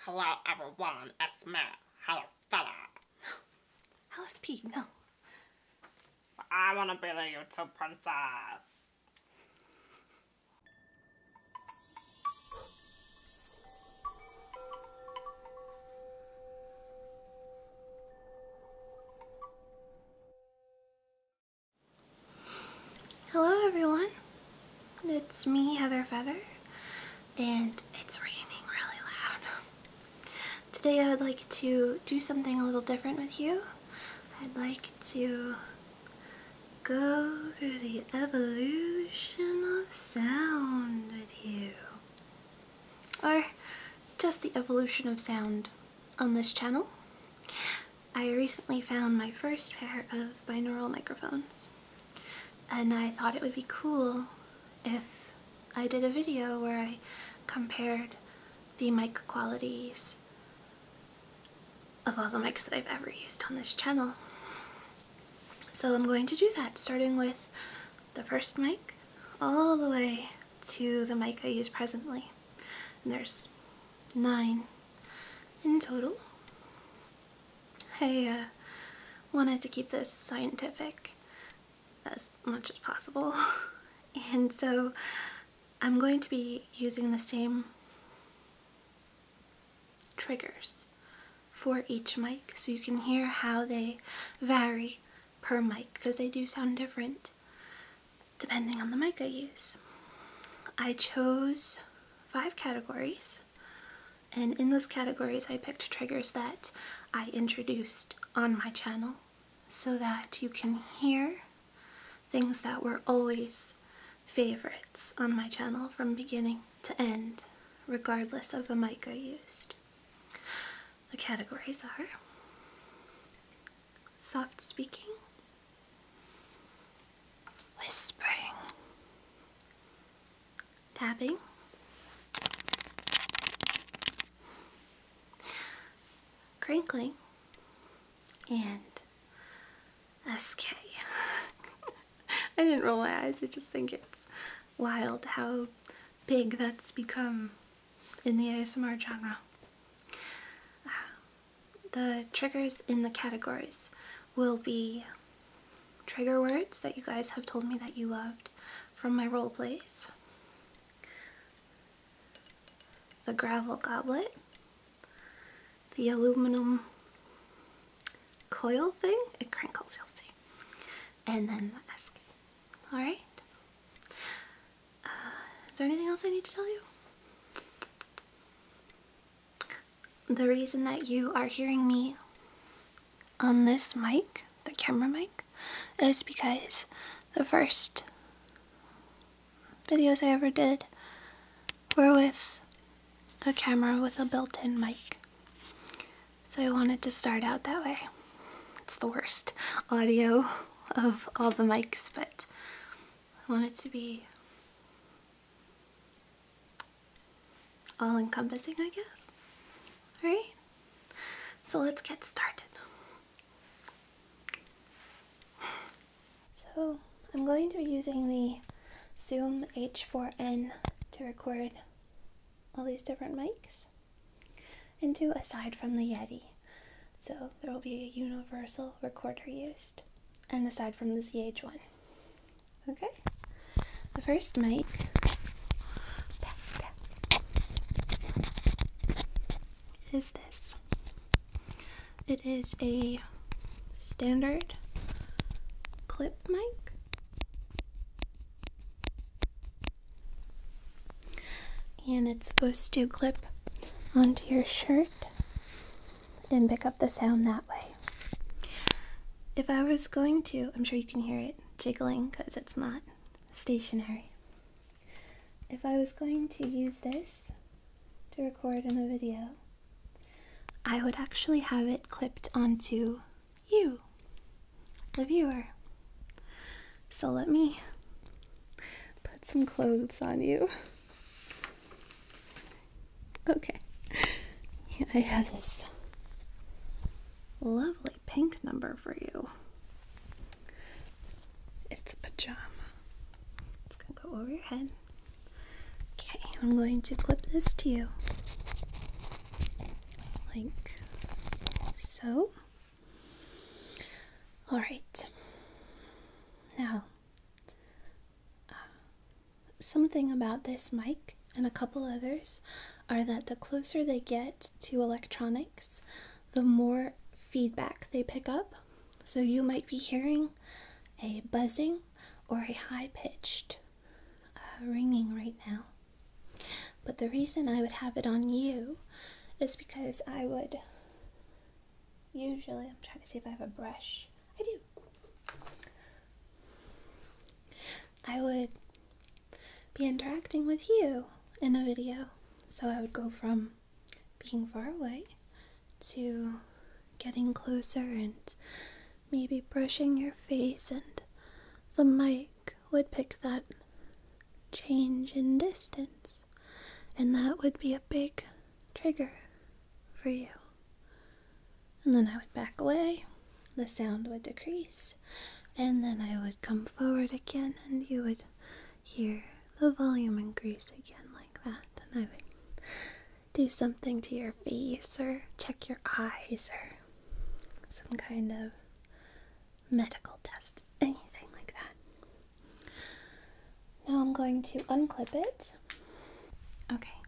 Hello everyone, it's me. Hello fella. No. LSP, no. I wanna be the YouTube princess. Hello everyone. It's me, Heather Feather, and it's raining really loud. Today I would like to do something a little different with you. I'd like to go through the evolution of sound with you. Or just the evolution of sound on this channel. I recently found my first pair of binaural microphones and I thought it would be cool if I did a video where I compared the mic qualities of all the mics that I've ever used on this channel. So I'm going to do that, starting with the first mic all the way to the mic I use presently. And there's nine in total. I uh, wanted to keep this scientific as much as possible, and so I'm going to be using the same triggers for each mic so you can hear how they vary per mic because they do sound different depending on the mic I use. I chose five categories and in those categories, I picked triggers that I introduced on my channel so that you can hear things that were always favorites on my channel from beginning to end, regardless of the mic I used. The categories are soft speaking, whispering, tapping. Crinkling and SK. I didn't roll my eyes, I just think it's wild how big that's become in the ASMR genre. Uh, the triggers in the categories will be trigger words that you guys have told me that you loved from my role plays. The gravel goblet, the aluminum coil thing, it crinkles, you'll see, and then the Alright? Uh, is there anything else I need to tell you? the reason that you are hearing me on this mic, the camera mic, is because the first videos I ever did were with a camera with a built-in mic. So I wanted to start out that way. It's the worst audio of all the mics, but I want it to be all encompassing, I guess. Alright, so let's get started. So, I'm going to be using the Zoom H4n to record all these different mics and into aside from the Yeti. So, there will be a universal recorder used, and aside from the ZH1. Okay. The first mic. Is this? It is a standard clip mic. And it's supposed to clip onto your shirt and pick up the sound that way. If I was going to, I'm sure you can hear it jiggling because it's not stationary. If I was going to use this to record in a video, I would actually have it clipped onto you, the viewer. So let me put some clothes on you okay. I have this lovely pink number for you. It's a pajama. It's going to go over your head. Okay, I'm going to clip this to you. Like so. Alright. Now, uh, Something about this mic and a couple others are that the closer they get to electronics, the more feedback they pick up. So you might be hearing a buzzing or a high pitched uh, ringing right now. But the reason I would have it on you is because I would usually, I'm trying to see if I have a brush. I do. I would be interacting with you in a video. So I would go from being far away to getting closer and maybe brushing your face, and the mic would pick that change in distance, and that would be a big trigger for you and then I would back away, the sound would decrease, and then I would come forward again, and you would hear the volume increase again, like that. And I would do something to your face, or check your eyes, or some kind of medical test, anything like that. Now I'm going to unclip it. Okay,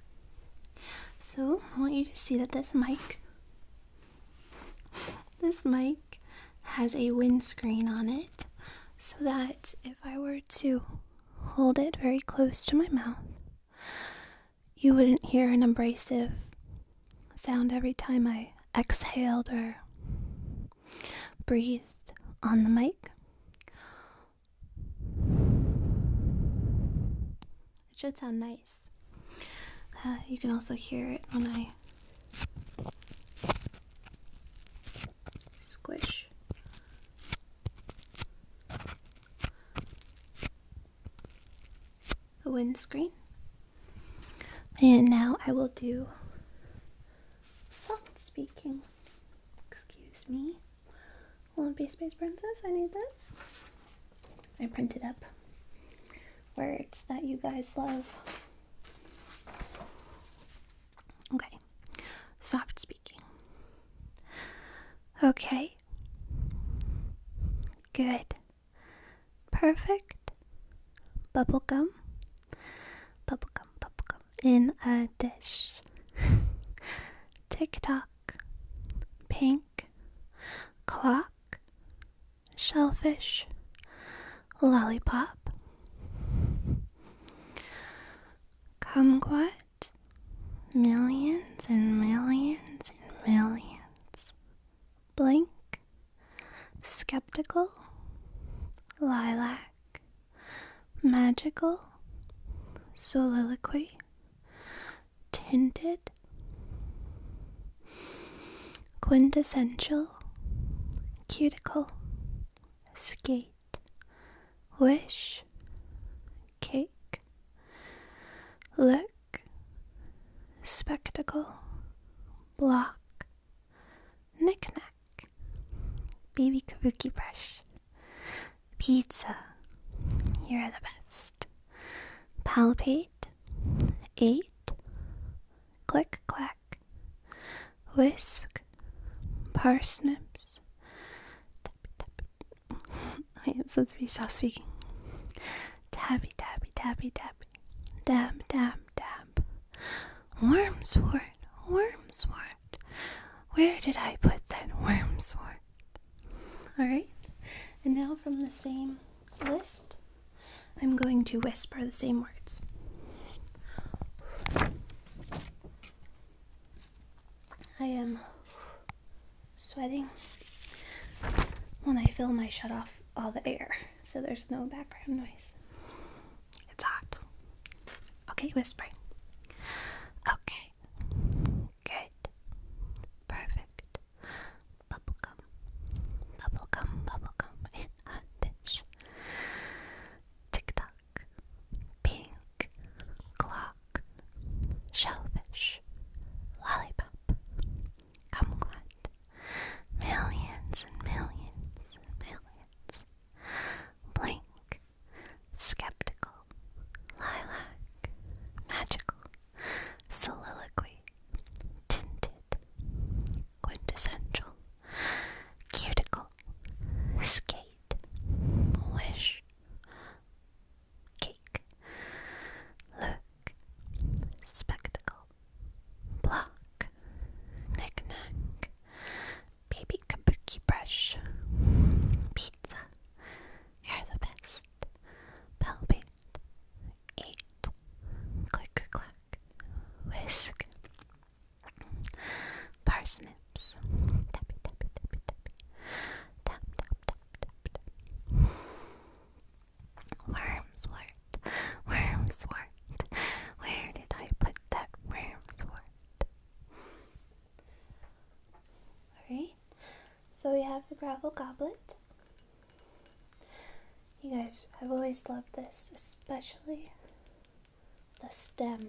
so I want you to see that this mic this mic has a windscreen on it so that if I were to hold it very close to my mouth, you wouldn't hear an abrasive sound every time I exhaled or breathed on the mic. It should sound nice. Uh, you can also hear it when I squish. The windscreen. And now I will do soft speaking. Excuse me. Won't Space Princess, I need this. I printed up words that you guys love. Okay, soft speaking. Okay, good, perfect. Bubble Bubble gum. gum. Bubble gum in a dish. TikTok pink, clock, shellfish, lollipop, kumquat, millions and millions and millions, blink, skeptical, lilac, magical, soliloquy tinted, quintessential, cuticle, skate, wish, cake, look, spectacle, block, knickknack, baby kabuki brush, pizza. You're the best palpate, eight, click clack, whisk, parsnips. I am Wait, to be soft speaking. Tabby, tabby, tabby, tabby, Dab dab dab. Wormswort, wormswort. Where did I put that wormswort? Alright, and now from the same list, I'm going to whisper the same words. I am sweating when I film, I shut off all the air so there's no background noise. It's hot. Okay, whispering. Okay. Good. Perfect. Bubblegum. Bubblegum, bubblegum in a dish. Tick tock. Pink. Clock. Shellfish. Lollipop. Kumquat. Millions and millions and millions. Blink. Skeptical. Lilac. Magical. Soliloquy. Tinted. Quintessential. Cuticle. Skate. Wish. Cake. Look. Spectacle. Block. Knick-knack. Baby kabuki brush. Pizza. You're the best palpate, eight, clicker clack, whisk, parsnips, tappy tappy tappy tappy, tap tap tap tap tap. Wormswort, where did I put that wormswort? Alright, so we have the gravel goblet. You guys, I've always loved this, especially the stem.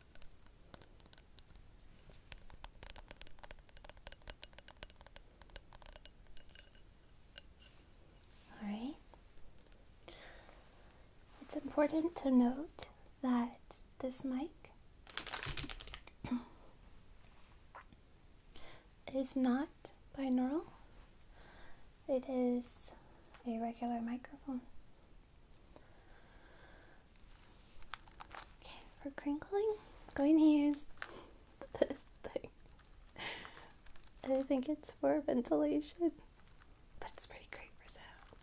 All right. It's important to note that this mic is not binaural, it is a regular microphone. Okay, for crinkling, going to use this thing. I think it's for ventilation, but it's pretty great for sounds.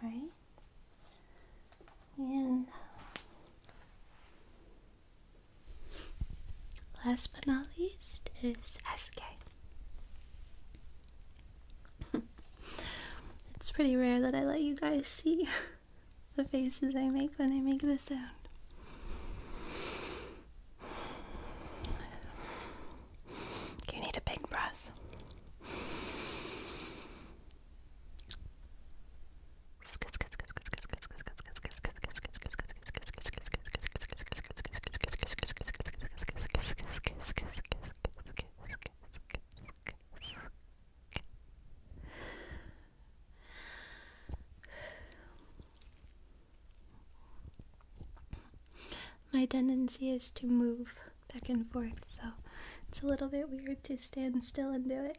All right, and Last but not least is SK. it's pretty rare that I let you guys see the faces I make when I make this sound. You need a big breath. My tendency is to move back and forth, so it's a little bit weird to stand still and do it.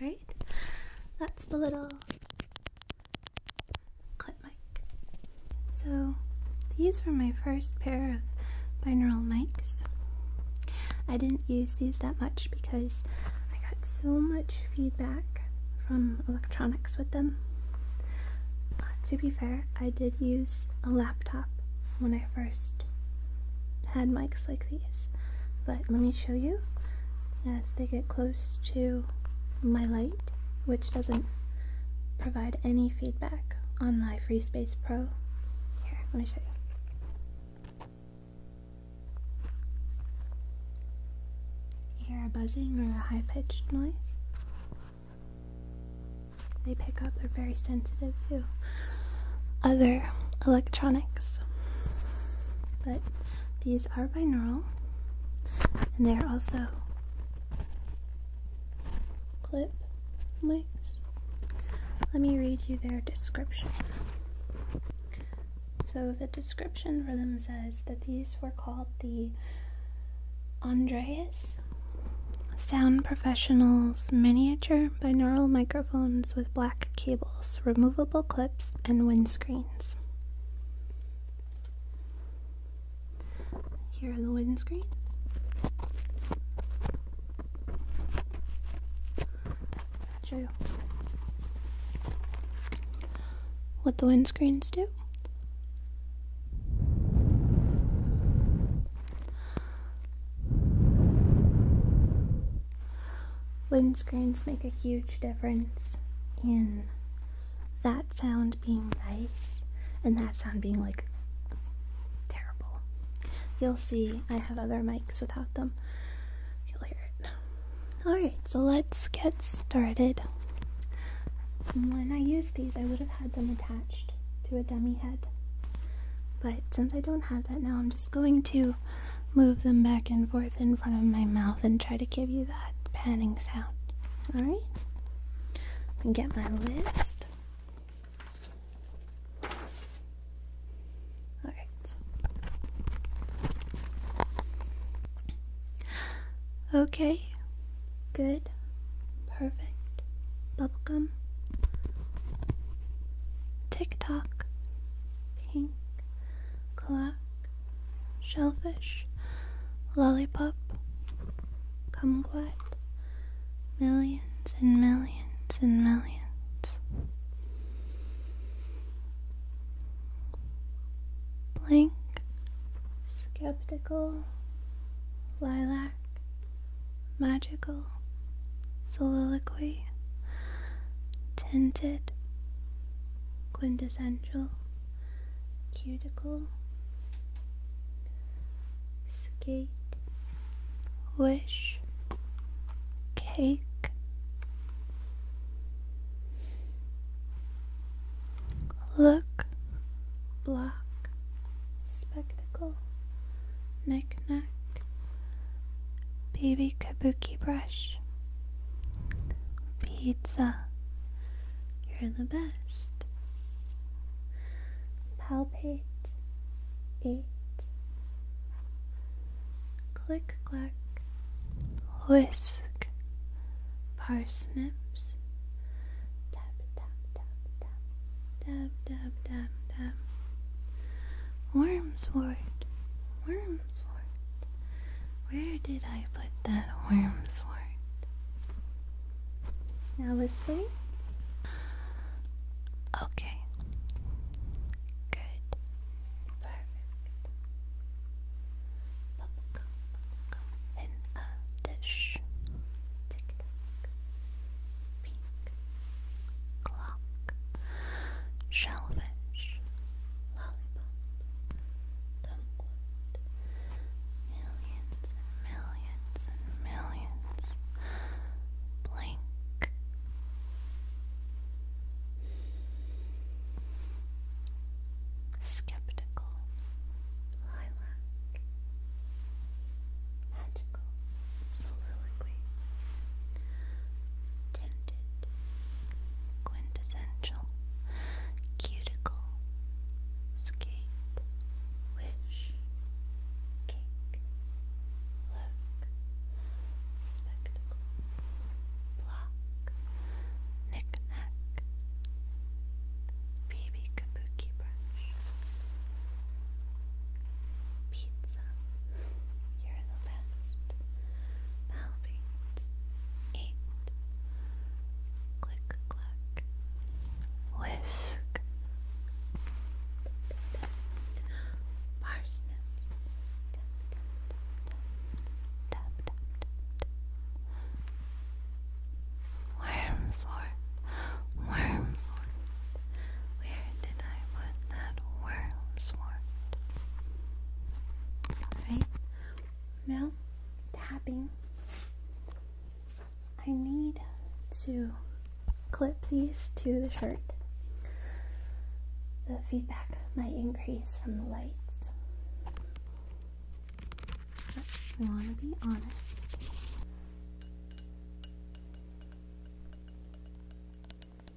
Alright, that's the little clip mic. So, these were my first pair of binaural mics. I didn't use these that much because I got so much feedback from electronics with them. Uh, to be fair, I did use a laptop when I first had mics like these. But let me show you as they get close to my light, which doesn't provide any feedback on my FreeSpace Pro. Here, let me show You hear a buzzing or a high-pitched noise? they pick up they are very sensitive to other electronics. But these are binaural and they are also clip Let me read you their description. So the description for them says that these were called the Andreas Sound Professionals miniature binaural microphones with black cables, removable clips, and wind screens. Here are the windscreens. Show you what the wind screens do. Wind screens make a huge difference in that sound being nice and that sound being like terrible. You'll see I have other mics without them. You'll hear it. Alright, so let's get started. When I use these, I would have had them attached to a dummy head. But since I don't have that now, I'm just just going to move them back and forth in front of my mouth and try to give you that panning sound. Alright? Get my list. Alright. Okay. Good. Perfect. Bubblegum tick tock, pink, clock, shellfish, lollipop, come kumquat, millions and millions and millions. Blank, skeptical, lilac, magical soliloquy, tinted, quintessential, cuticle, skate, wish, cake, look, block, spectacle, Knick knack, baby kabuki brush, pizza, you're the best, palpate, eat, click clack, whisk, parsnips, dab, dab, dab, dab. Wormswort, wormswort. Where did I put that wormswort? Now whispering. Okay. Good. Perfect. Bubblegum, bubblegum in a dish. Tick tock pink, clock, shellfish, lollipop, millions and millions and millions, blink. Skeptical, lilac, magic, magical soliloquy, tinted, quintessential, cuticle, skate, wish, cake, look, spectacle, block, knick baby kabuki brush, pizza awesome. You're the best. Palpate. Eight. Click, clack. Whisk. Parsnips. Tap, tap, tap, tap. Where did I put that worm sword? Alright, now tapping. I need to clip these to the shirt. The feedback might increase from the lights. But want to be honest.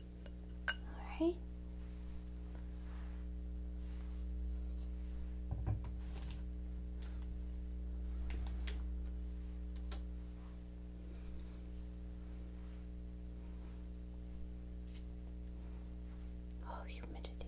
Alright. Oh, humidity.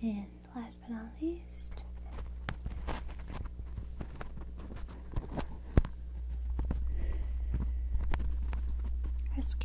And last but not least, SK.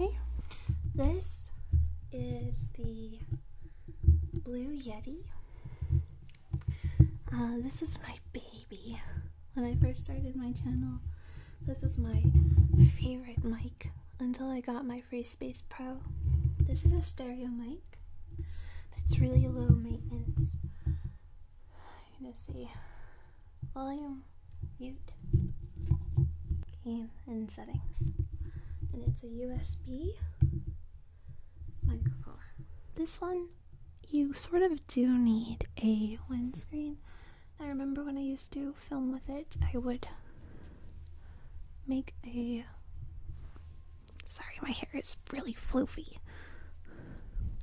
Okay, this is the Blue Yeti. Uh, this is my baby. When I first started my channel, this is my favorite mic until I got my FreeSpace Pro. This is a stereo mic, it's really low maintenance. I'm gonna see volume, mute, game, and settings. And it's a USB microphone. This one, you sort of do need a windscreen I remember when I used to film with it, I would make a. Sorry, my hair is really floofy.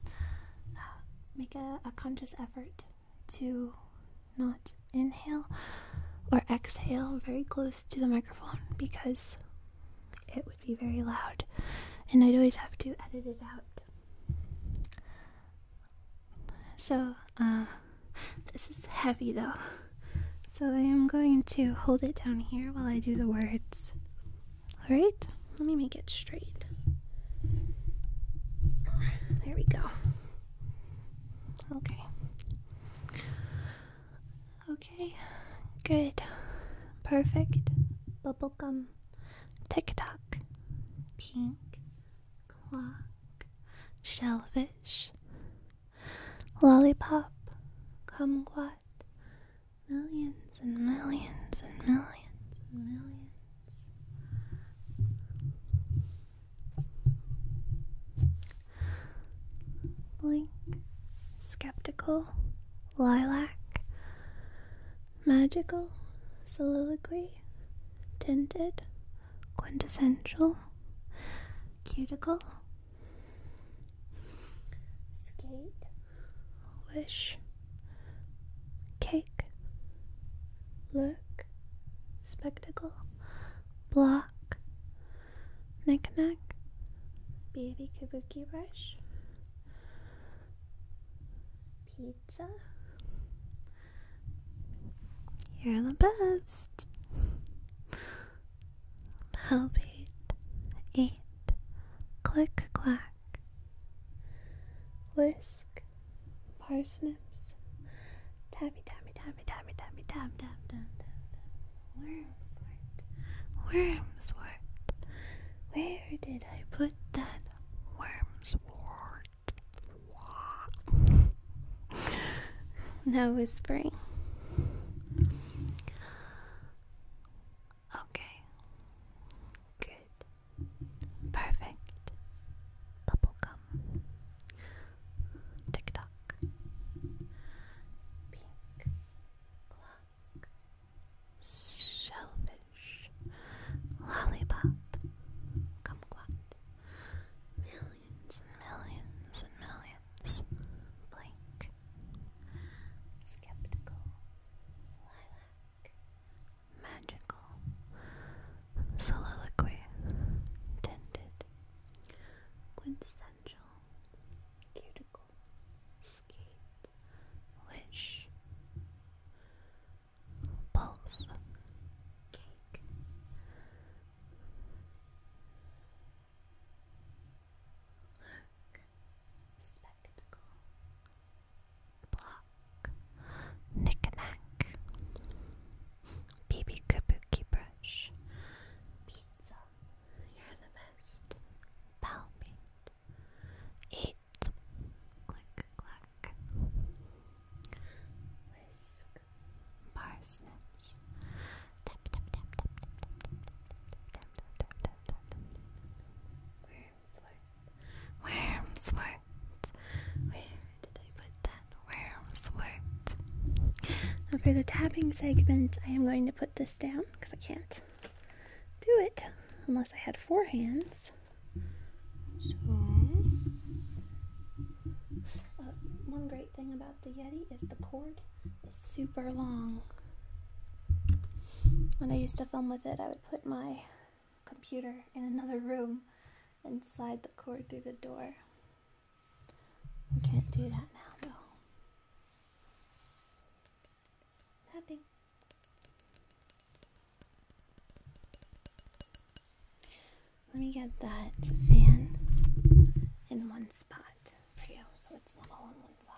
Uh, make a conscious effort to not inhale or exhale very close to the microphone because it would be very loud and I'd always have to edit it out. So, uh, this is heavy though. So I am going to hold it down here while I do the words. Alright? Let me make it straight. There we go. Okay. Okay. Good. Perfect. Bubblegum. Tick tock. Pink. Clock. Shellfish fish, lollipop, kumquat, millions and millions and millions and millions. Blink, skeptical, lilac, magical, soliloquy, tinted, quintessential, cuticle, skate, wish, cake, look, spectacle, block, knickknack, baby kabuki brush, pizza, you're the best. Help Palpate, eat. click clack, whisk, parsnips, tabby tabby tabby tabby tabby tab tab tab tab wormswort, wormswort. Where did I put that worms word? no whispering. Okay. Good. Perfect. Bubblegum. Tick tock. Pink clock. Shellfish. Lollipop. Kumquat. Milk millions and millions and millions. Skeptical. Lilac. Magical. Soliloquy. Tinted. Quintessential. Cuticle. Skate. Wish. Pulse. Cake. Look, spectacle, block, knick-knack, baby kabuki brush, pizza, you're the best, palpate, eight, click, clack, whisk, parsnips. Tap tap tap tap Where did I put that? Wormswort. Now for the tapping segment, I am going to put this down because I can't do it unless I had four hands. So uh, one great thing about the Yeti is the cord is super long. When I used to film with it, I would put my computer in another room and slide the cord through the door. I can't do that now, though. Tapping. Let me get that fan in one spot for you so it's not all on one side.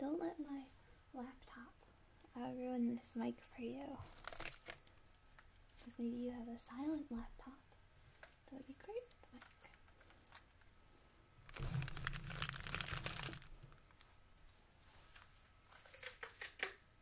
Don't let my laptop I'll ruin this mic for you. Because maybe you have a silent laptop. That would be great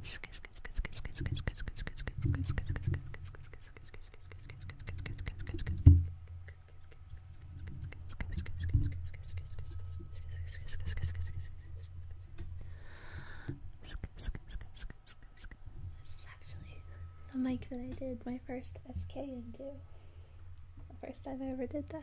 This is actually the mic that I did my first SK into first time I ever did that.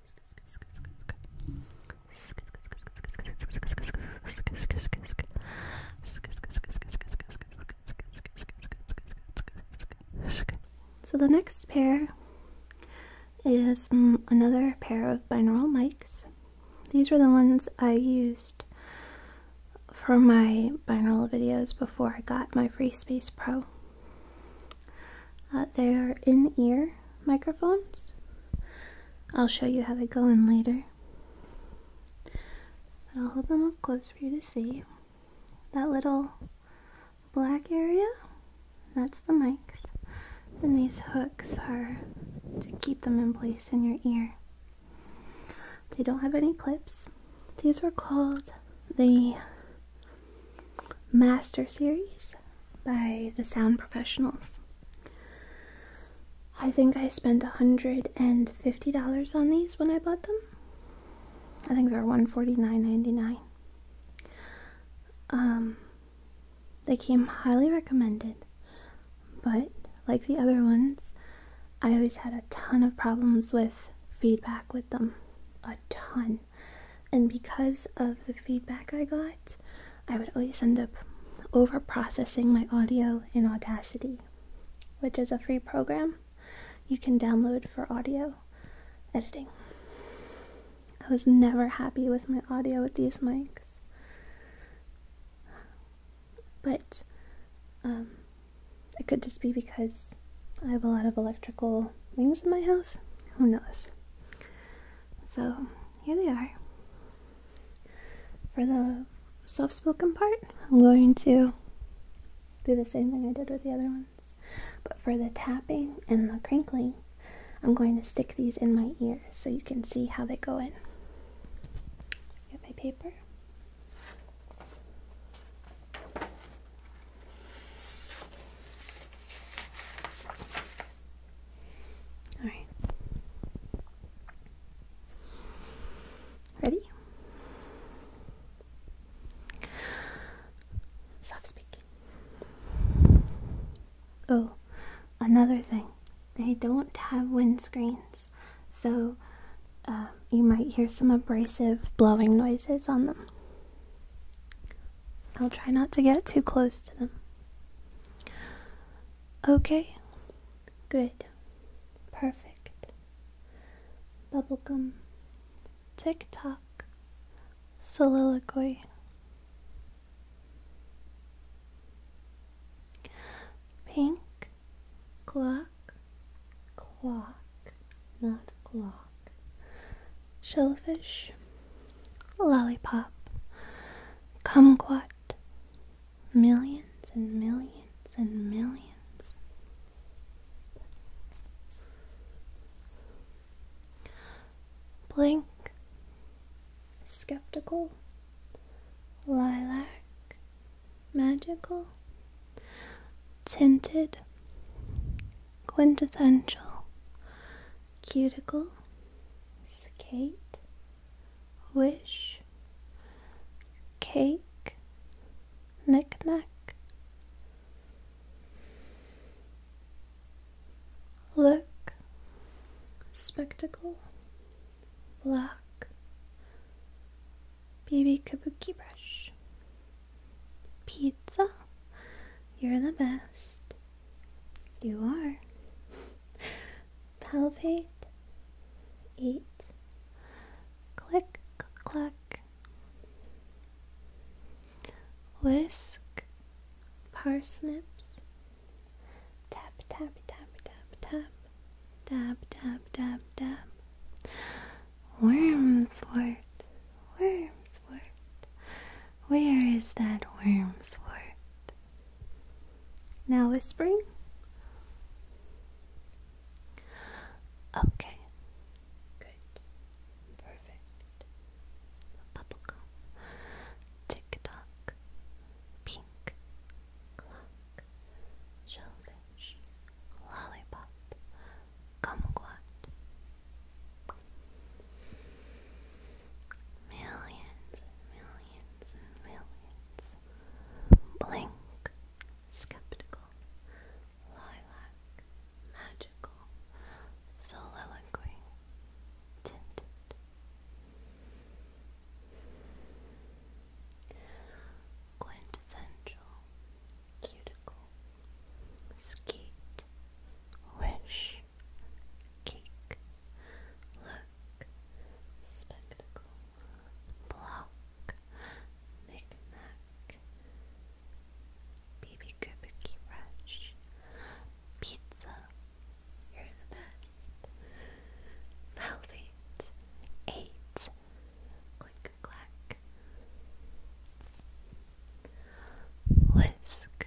So the next pair is mm, another pair of binaural mics. These were the ones I used for my binaural videos before I got my FreeSpace Pro. Uh, they are in-ear microphones. I'll show you how they go in later. But I'll hold them up close for you to see. That little black area, that's the mic. And these hooks are to keep them in place in your ear. They don't have any clips. These were called the Master Series by the Sound Professionals. I think I spent $150 on these when I bought them. I think they're $149.99. Um, they came highly recommended, but like the other ones, I always had a ton of problems with feedback with them. A ton. And because of the feedback I got, I would always end up over processing my audio in Audacity, which is a free program you can download for audio editing. I was never happy with my audio with these mics. But um, it could just be because I have a lot of electrical things in my house. Who knows? So here they are. For the soft spoken part, I'm going to do the same thing I did with the other ones. But for the tapping and the crinkling, I'm going to stick these in my ear so you can see how they go in. Get my paper. All right. Ready? Soft speaking. Oh, another thing. They don't have wind screens, so um, you might hear some abrasive blowing noises on them. I'll try not to get too close to them. Okay, good, perfect. Bubblegum, tick tock, soliloquy. Pink clock, clock, not clock shellfish, lollipop, kumquat, millions and millions and millions. Blink, skeptical, lilac, magical, tinted, quintessential, cuticle, skate, wish, cake, knick-knack, look, spectacle, block, baby kabuki brush, pizza, you're the best. You are. Palpate. Eat. Click, clack. Whisk. Parsnips. Tap, tap, tap, tap, tap. Dab, dab, dab, dab. Wormswort. Wormswort. Where is that worm's word? Now whispering. Okay. Perfect. Bubblegum. Tick Pink. Clock. Shellfish. Lollipop. Kumquat. Millions and millions and millions. Blink, skeptical, lilac, magical, soliloquy, tinted. Quintessential, cuticle, skeet, wish, Cake. Look. Spectacle. Block. Knick-knack. Baby Kabuki Rush. Pizza. You're the best. Velvet. Eight. Click clack. Whisk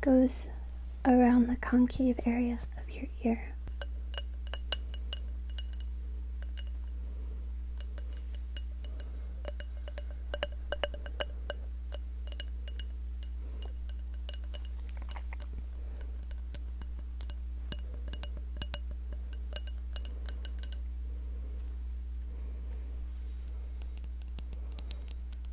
goes around the concave area of your ear.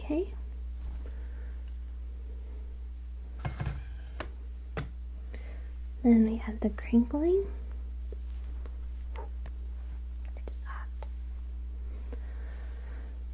Okay. Then we have the crinkling. Just that.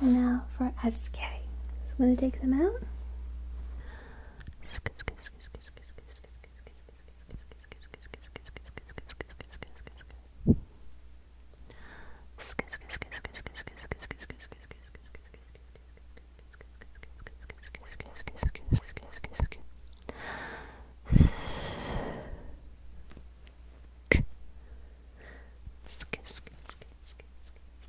Now for SK. So I'm going to take them out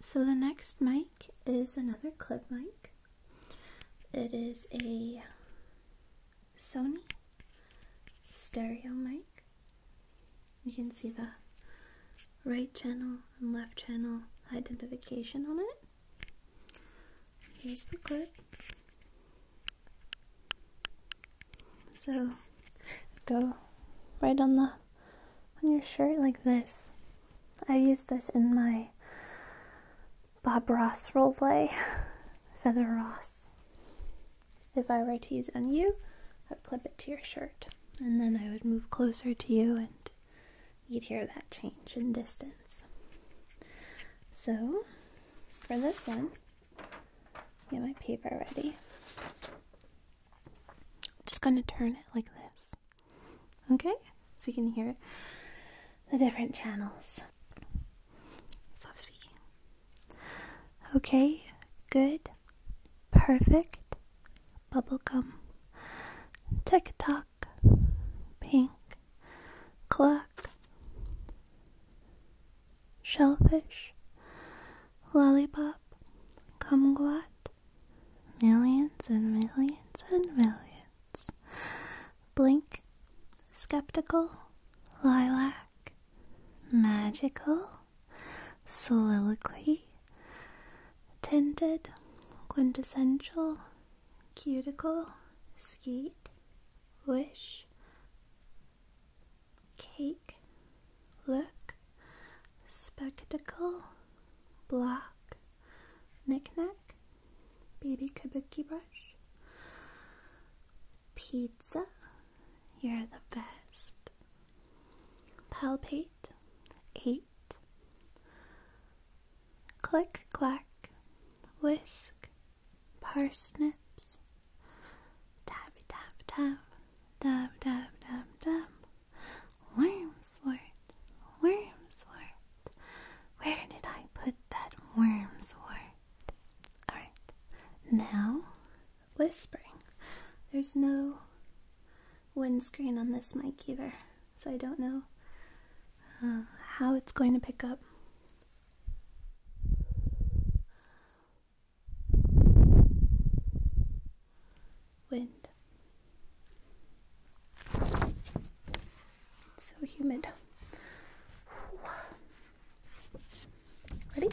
so the next mic is another clip mic. It is a Sony stereo mic. You can see the right channel and left channel identification on it. Here's the clip. So go right on the on your shirt like this. I used this in my Bob Ross roleplay, Feather Ross. If I were to use it on you, I would clip it to your shirt, and then I would move closer to you, and you'd hear that change in distance. So, for this one, get my paper ready. I'm just going to turn it like this. Okay? So you can hear the different channels. Stop speaking. Okay, good, perfect, bubblegum, tick tock, pink, clock, shellfish, lollipop, kumquat, Millions and millions and millions. Blink, skeptical, lilac, magical, soliloquy, tinted, quintessential, cuticle, skeet, wish, cake, look, spectacle, block, knickknack, baby kabuki brush, pizza, you're the best, palpate, eight, click clack, whisk, parsnips, dab dab dab, dab dab dab dab. Wormswort, wormswort. Where did I put that wormswort? Alright, now whispering. There's no windscreen on this mic either, so I don't know uh, how it's going to pick up. Wind. so humid. Ready?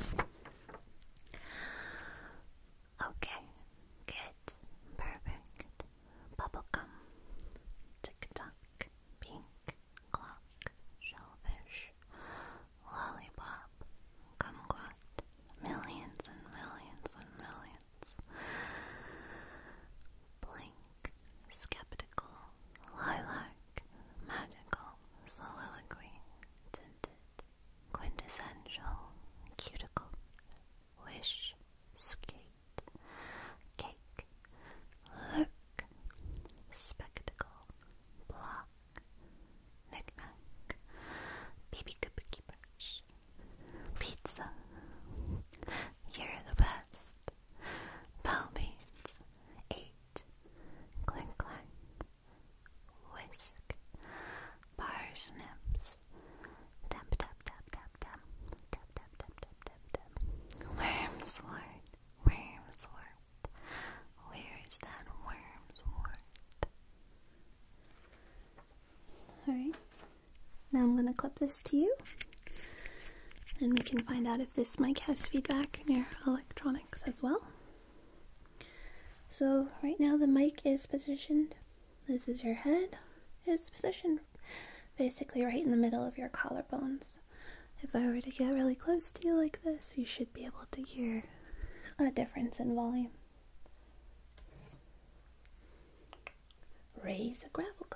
Okay, good, perfect. Bubblegum, tick tock, pink clock, shellfish, lollipop, kumquat, millions and millions and millions. Blink, skeptical, lilac, magical, soliloquy, tinted, quintessential, cuticle, wish, skate, cake, look, spectacle, block, knick-knack, baby cookie pizza, you're the best, palmates, eight, clink-clank, whisk, parsnips, tap tap tap tap tap, tap tap tap tap tap tap, wormswort, wormswort, where's that wormswort? Alright, now I'm going to clip this to you and we can find out if this mic has feedback in your electronics as well. So right now the mic is positioned, this is your head, is positioned basically right in the middle of your collarbones. If I were to get really close to you like this, you should be able to hear a difference in volume. Raise a gravel goblet.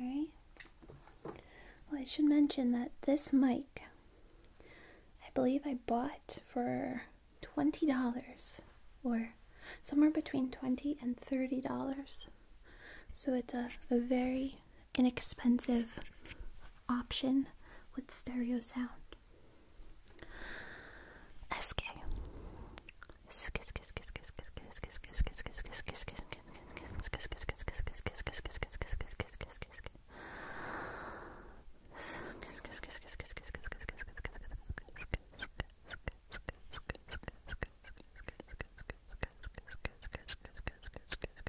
Alright. Well, I should mention that this mic, I believe I bought for $20 or somewhere between 20 and $30. So it's a, a very inexpensive option with stereo sound. SK.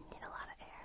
Need a lot of air.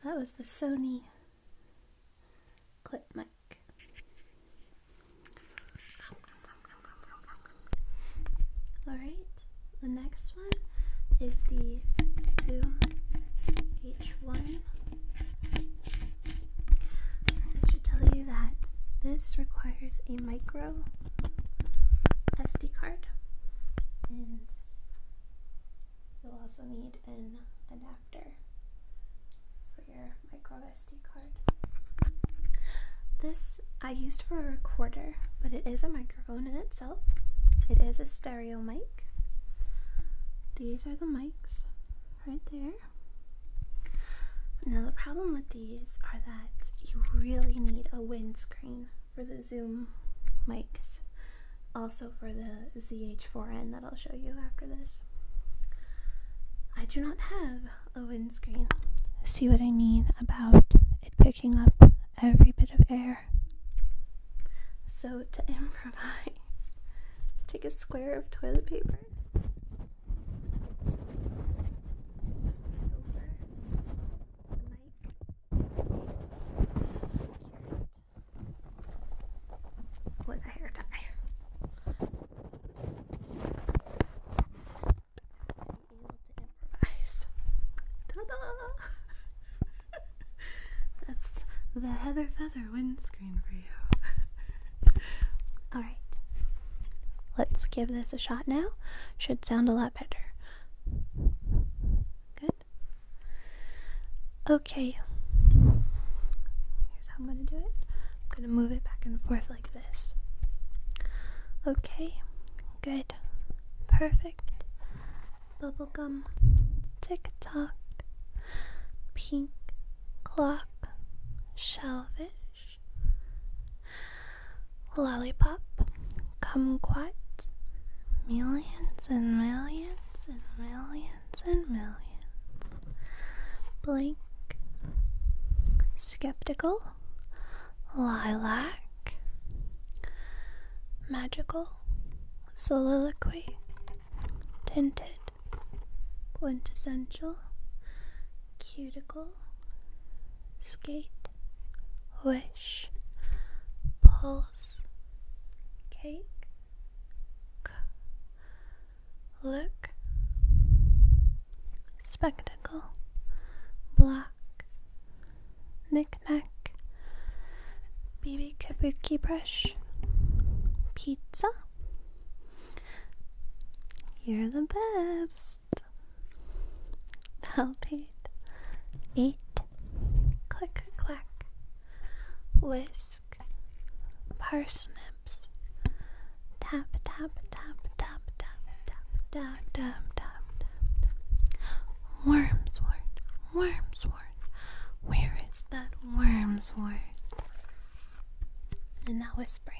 So that was the Sony clip mic. Alright, the next one is the two H1. I should tell you that this requires a micro SD card and you'll also need an adapter for your micro SD card. This I used for a recorder, but it is a microphone in itself. It is a stereo mic. These are the mics right there. Now, the problem with these are that you really need a windscreen for the Zoom mics, also for the ZH4N that I'll show you after this. I do not have a windscreen. See what I mean about it picking up every bit of air. So, to improvise, take a square of toilet paper. With a hair tie. That's the Heather Feather windscreen for you. Alright. Let's give this a shot now. Should sound a lot better. Good. Okay. Here's how I'm going to do it. I'm going to move it back and forth like this. Okay. Good. Perfect. Bubblegum. Tick tock. Pink clock. Shellfish. Lollipop. Kumquat. Millions and millions and millions and millions. Blink. Skeptical. Lilac. Magical, soliloquy, tinted, quintessential, cuticle, skate, wish, pulse, cake, look, spectacle, block, knick-knack, baby kabuki brush, pizza. You're the best. Palpate, eat. click clack, whisk, parsnips, tap tap tap tap tap tap tap tap tap tap Wormswort Wormswort Where is that wormswort? And now whispering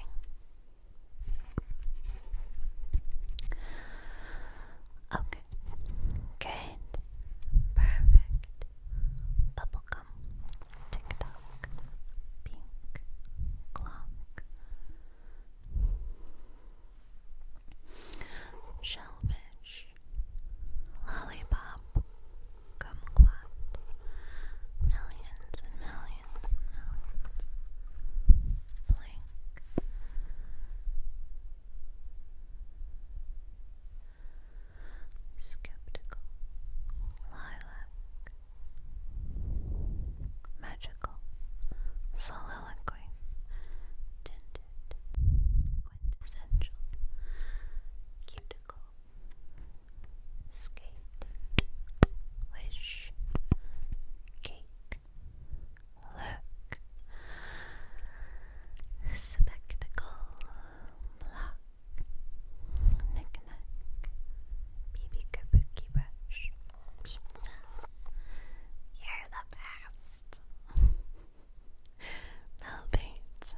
Okay Good Perfect Bubblegum Tick tock Pink Clock shellfish, lollipop, kumquat, millions and millions and millions, blink, skeptical, lilac, magical, solo melancholy, tinted, quintessential, cuticle, skate, wish, cake, look, spectacle, block, knick-knack, Kabuki brush, pizza. You're the best. Melbates.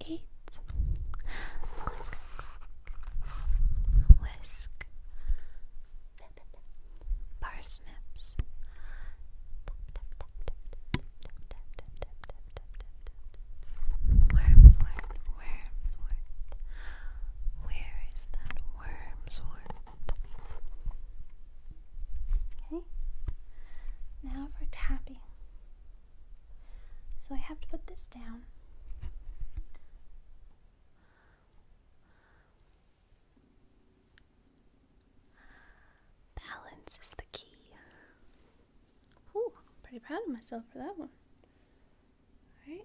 Eight. Click, click. Whisk. Parsnips. Wormswort, wormswort. Where is that wormswort? Okay, now for tapping. So I have to put this down. Balance is the key. Ooh, pretty proud of myself for that one. Alright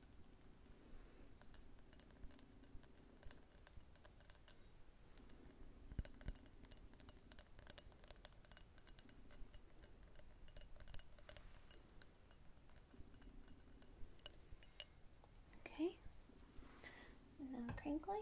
Okay, now crinkling.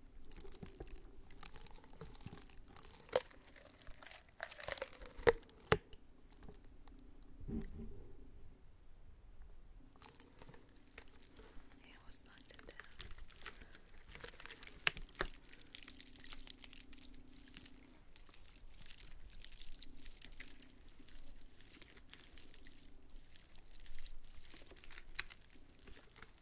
I almost knocked it down. All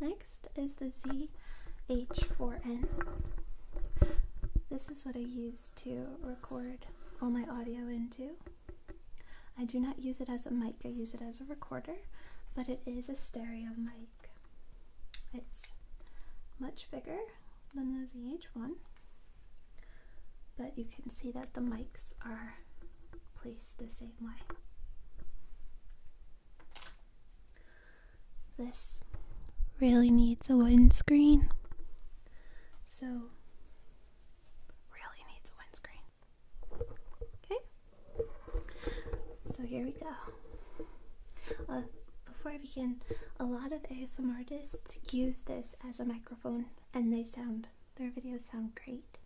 Next is the ZH4N. This is what I use to record all my audio into. I do not use it as a mic, I use it as a recorder, but it is a stereo mic. It's much bigger than the ZH1, but you can see that the mics are placed the same way. This really needs a windscreen, so really needs a windscreen. Okay, so here we go. Uh, before I begin, a lot of ASMR artists use this as a microphone, and they sound their videos sound great.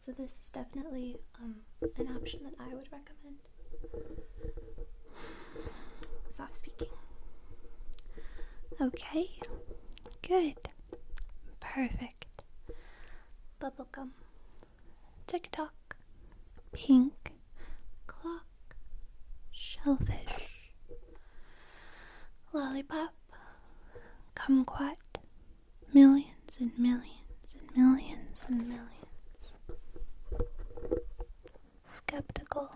So this is definitely um, an option that I would recommend. Soft speaking. Okay, good, perfect. Bubblegum, TikTok, pink, clock, shellfish, lollipop, kumquat, millions and millions and millions and millions. Skeptical,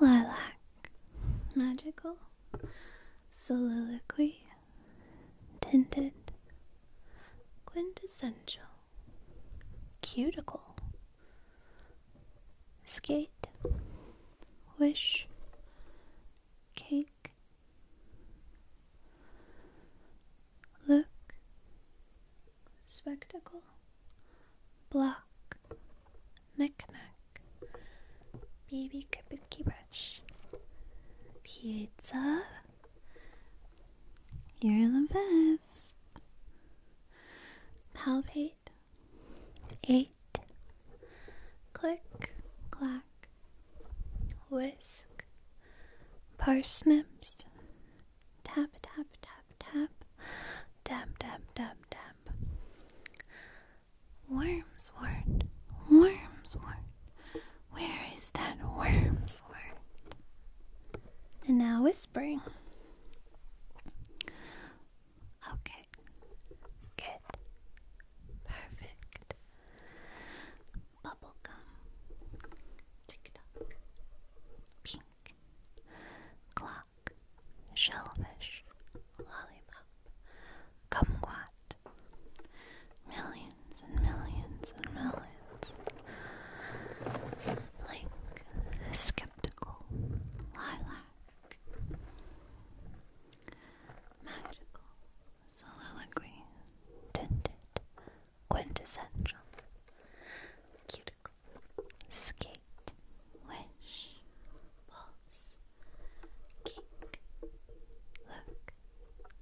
lilac, magical, soliloquy, tinted, quintessential, cuticle, skate, wish, cake, look, spectacle, block, knickknack, baby kabuki brush, pizza. You're the best. Palpate, eight, click, clack, whisk, parsnips, tap, tap, tap, tap, dab, dab, dab, dab. Worms, worm. Wormswort, worm. where is that worm? And now whispering. Okay. Good. Perfect. Bubblegum. Tick tock. Pink. Clock. Shellfish. Lollipop. Kumquat. Millions and millions and millions. Blink. Skeptical. Lilac. Magical soliloquy, tinted, quintessential, cuticle, skate, wish, pulse, kink, look,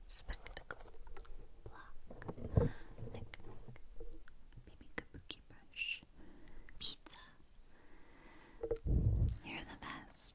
spectacle, block, knick, baby kabuki brush, pizza, you're the best.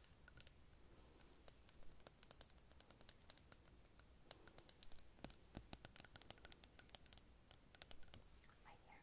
Right here. Great. Okay.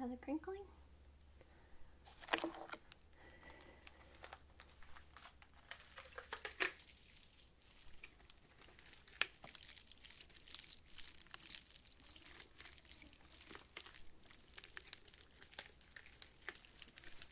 now the crinkling.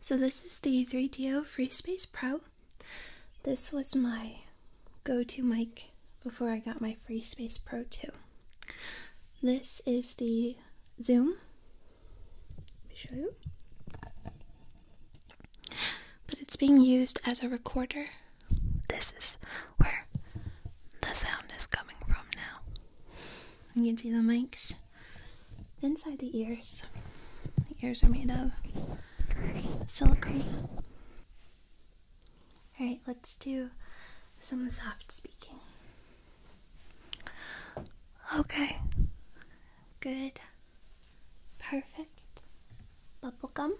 So this is the 3DO Free Space Pro. This was my go-to mic before I got my Free Space Pro 2. This is the Zoom. show you. But it's being used as a recorder. This is where the sound is coming from now. You can see the mics inside the ears. The ears are made of silicone. Alright, let's do some soft speaking. Okay. Good. Perfect. Bubblegum.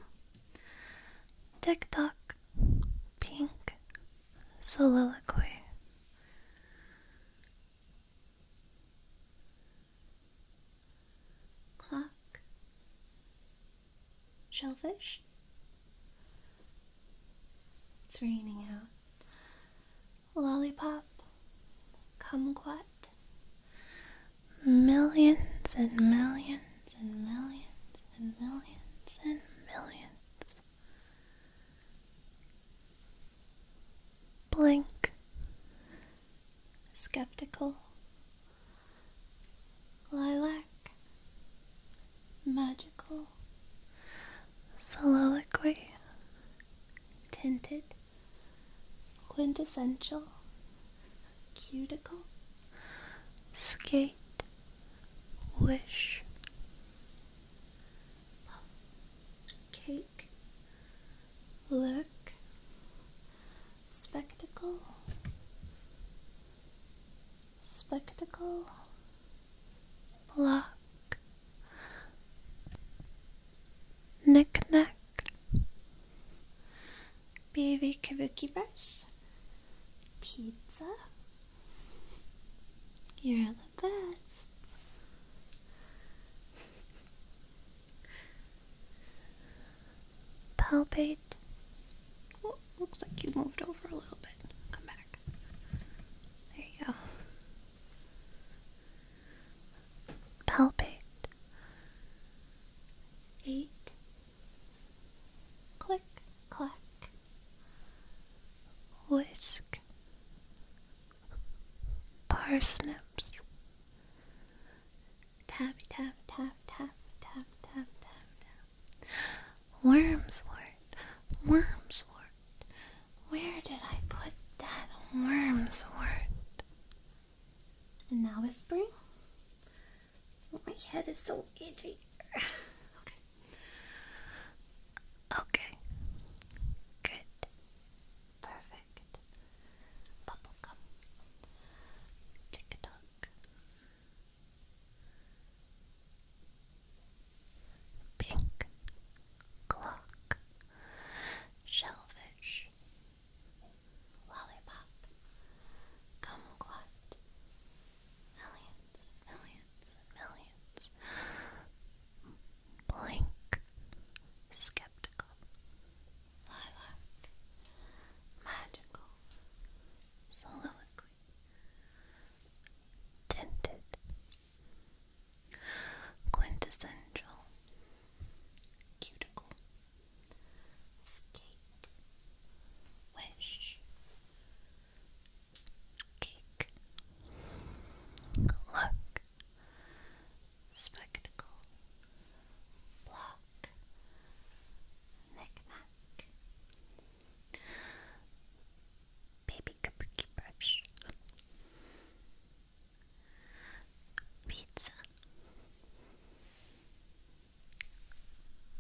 Tick tock. Pink. Soliloquy. Clock, shellfish. It's raining out. Lollipop, kumquat. Millions and millions and millions and millions and millions Blank. Skeptical. Lilac. Magical. Soliloquy. Tinted. Quintessential. Cuticle. Skate. Wish. Kate look, spectacle, spectacle, block, knick-knack, baby kabuki brush, pizza, you're the best. Palpate. looks like you moved over a little bit. Come back. There you go. Palpate. Eight. Click, clack. Whisk parsnips. Tap, tap, tap, tap, tap, tap, tap, tap. Wormswort, wormswort. Where did I put that wormswort? And now it's spring. my head is so itchy. Okay. Good. Perfect. Bubblegum. Tick tock. Pink. Clock. Shellfish. Lollipop. Kumquat. Millions, millions, millions. Blink, Skeptical, Lilac, Magical, Soliloquy, Tinted, Quintessential, Cuticle, Skate, Wish, Cake, Look spectacle, block, knick-knack, baby kabuki brush, pizza,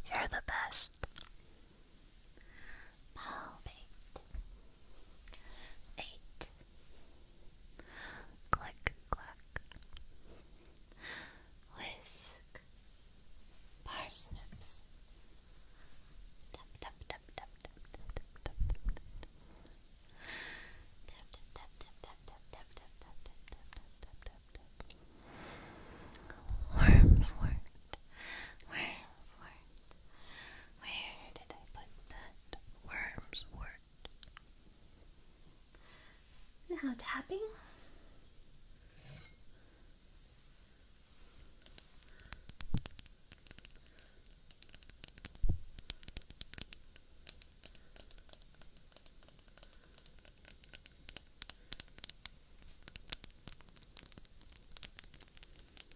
you're the best, palmate, eight, Click, clack. Whisk. Parsnips. Tap, tap, tap, tap, tap, tap, tap, tap, tap, tap. Tap, tap, tap, tap, tap, tap, tap, tap, tap, tap, tap, tap, tap, tap. Worms worked. Worms worked. Where did I put that worm's word? Now tapping.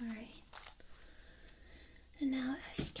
All right. And now SK.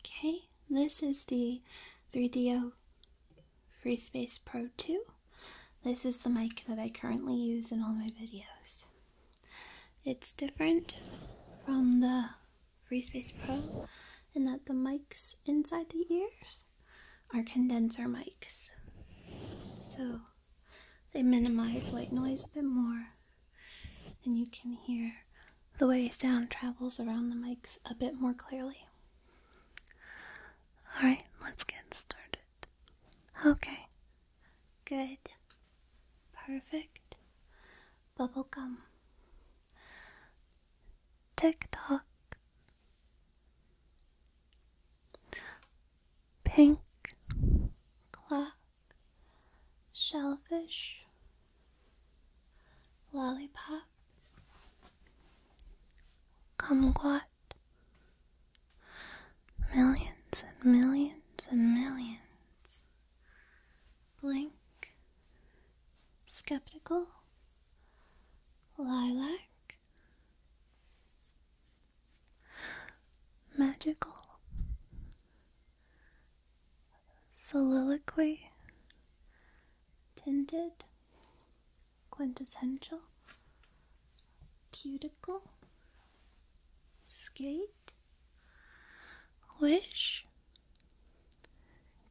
Okay, this is the 3DO FreeSpace Pro 2. This is the mic that I currently use in all my videos. It's different from the FreeSpace Pro, and that the mics inside the ears are condenser mics. So they minimize white noise a bit more, and you can hear the way sound travels around the mics a bit more clearly. Alright, let's get started. Okay, good, perfect bubblegum. Tick tock. Pink Clock Shellfish Lollipop Kumquat Millions and millions and millions Blink, Skeptical, Lilac, Magical, Soliloquy, Tinted, Quintessential, Cuticle, Skate, Wish,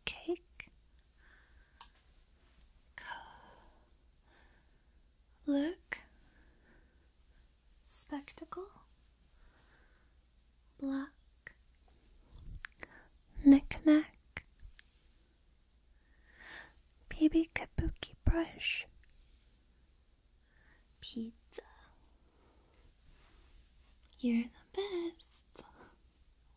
cake, look, spectacle, black, knick-knack, baby kabuki brush, pizza. You're the best.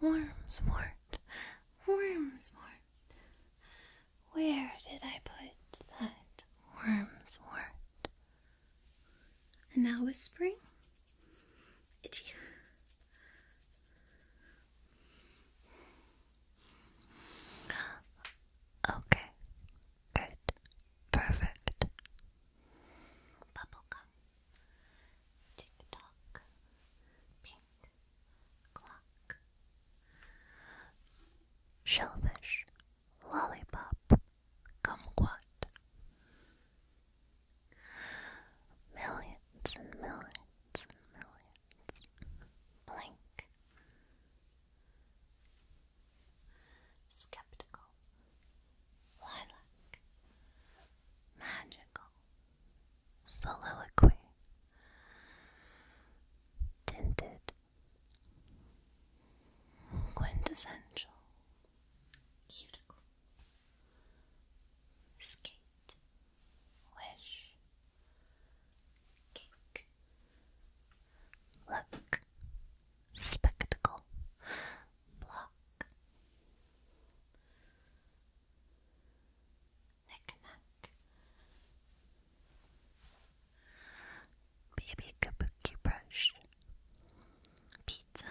Wormswort, wormswort. Where did I put that wormswort? And now whispering. It's Okay, good, perfect. Bubblegum. Tick tock, pink clock, shellfish, lollipop, kumquat. Millions and millions and millions. Blink. Skeptical lilac, magical, soliloquy, tinted, quintessential, cuticle, skate, wish, cake, look, spectacle, block, Knick-knack. Baby kabuki brush. Pizza.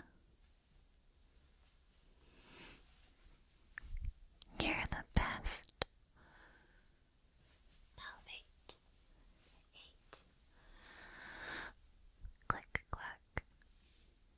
You're the best. Palmate. Eight. Click clack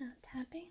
Now tapping.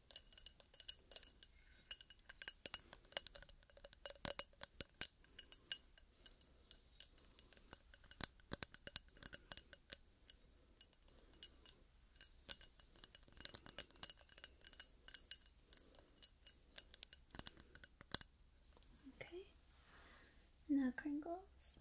Okay. Now crinkles.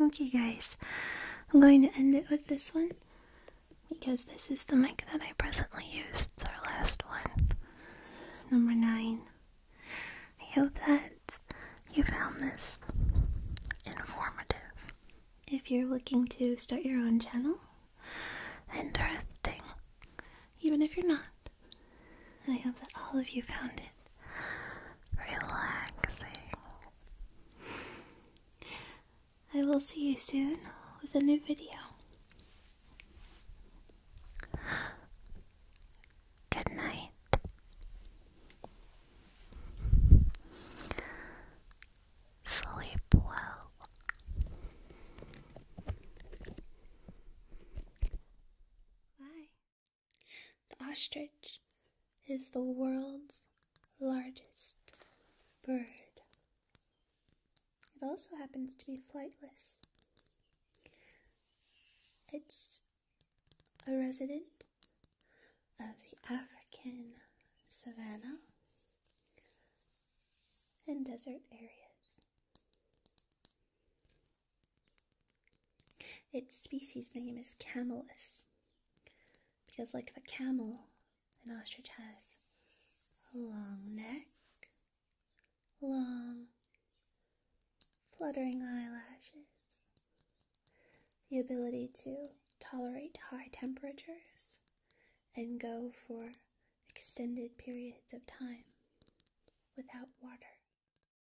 Okay, guys, I'm going to end it with this one because this is the mic that I presently use. It's our last one. Number nine. I hope that you found this informative. If you're looking to start your own channel, interesting, even if you're not, I hope that all of you found it relaxing. I will see you soon with a new video. Good night. Sleep well. Bye. The ostrich is the world's largest bird. It also happens to be flightless. It's a resident of the African savanna and desert areas. Its species name is camelus because, like a camel, an ostrich has a long neck, long fluttering eyelashes, the ability to tolerate high temperatures, and go for extended periods of time without water.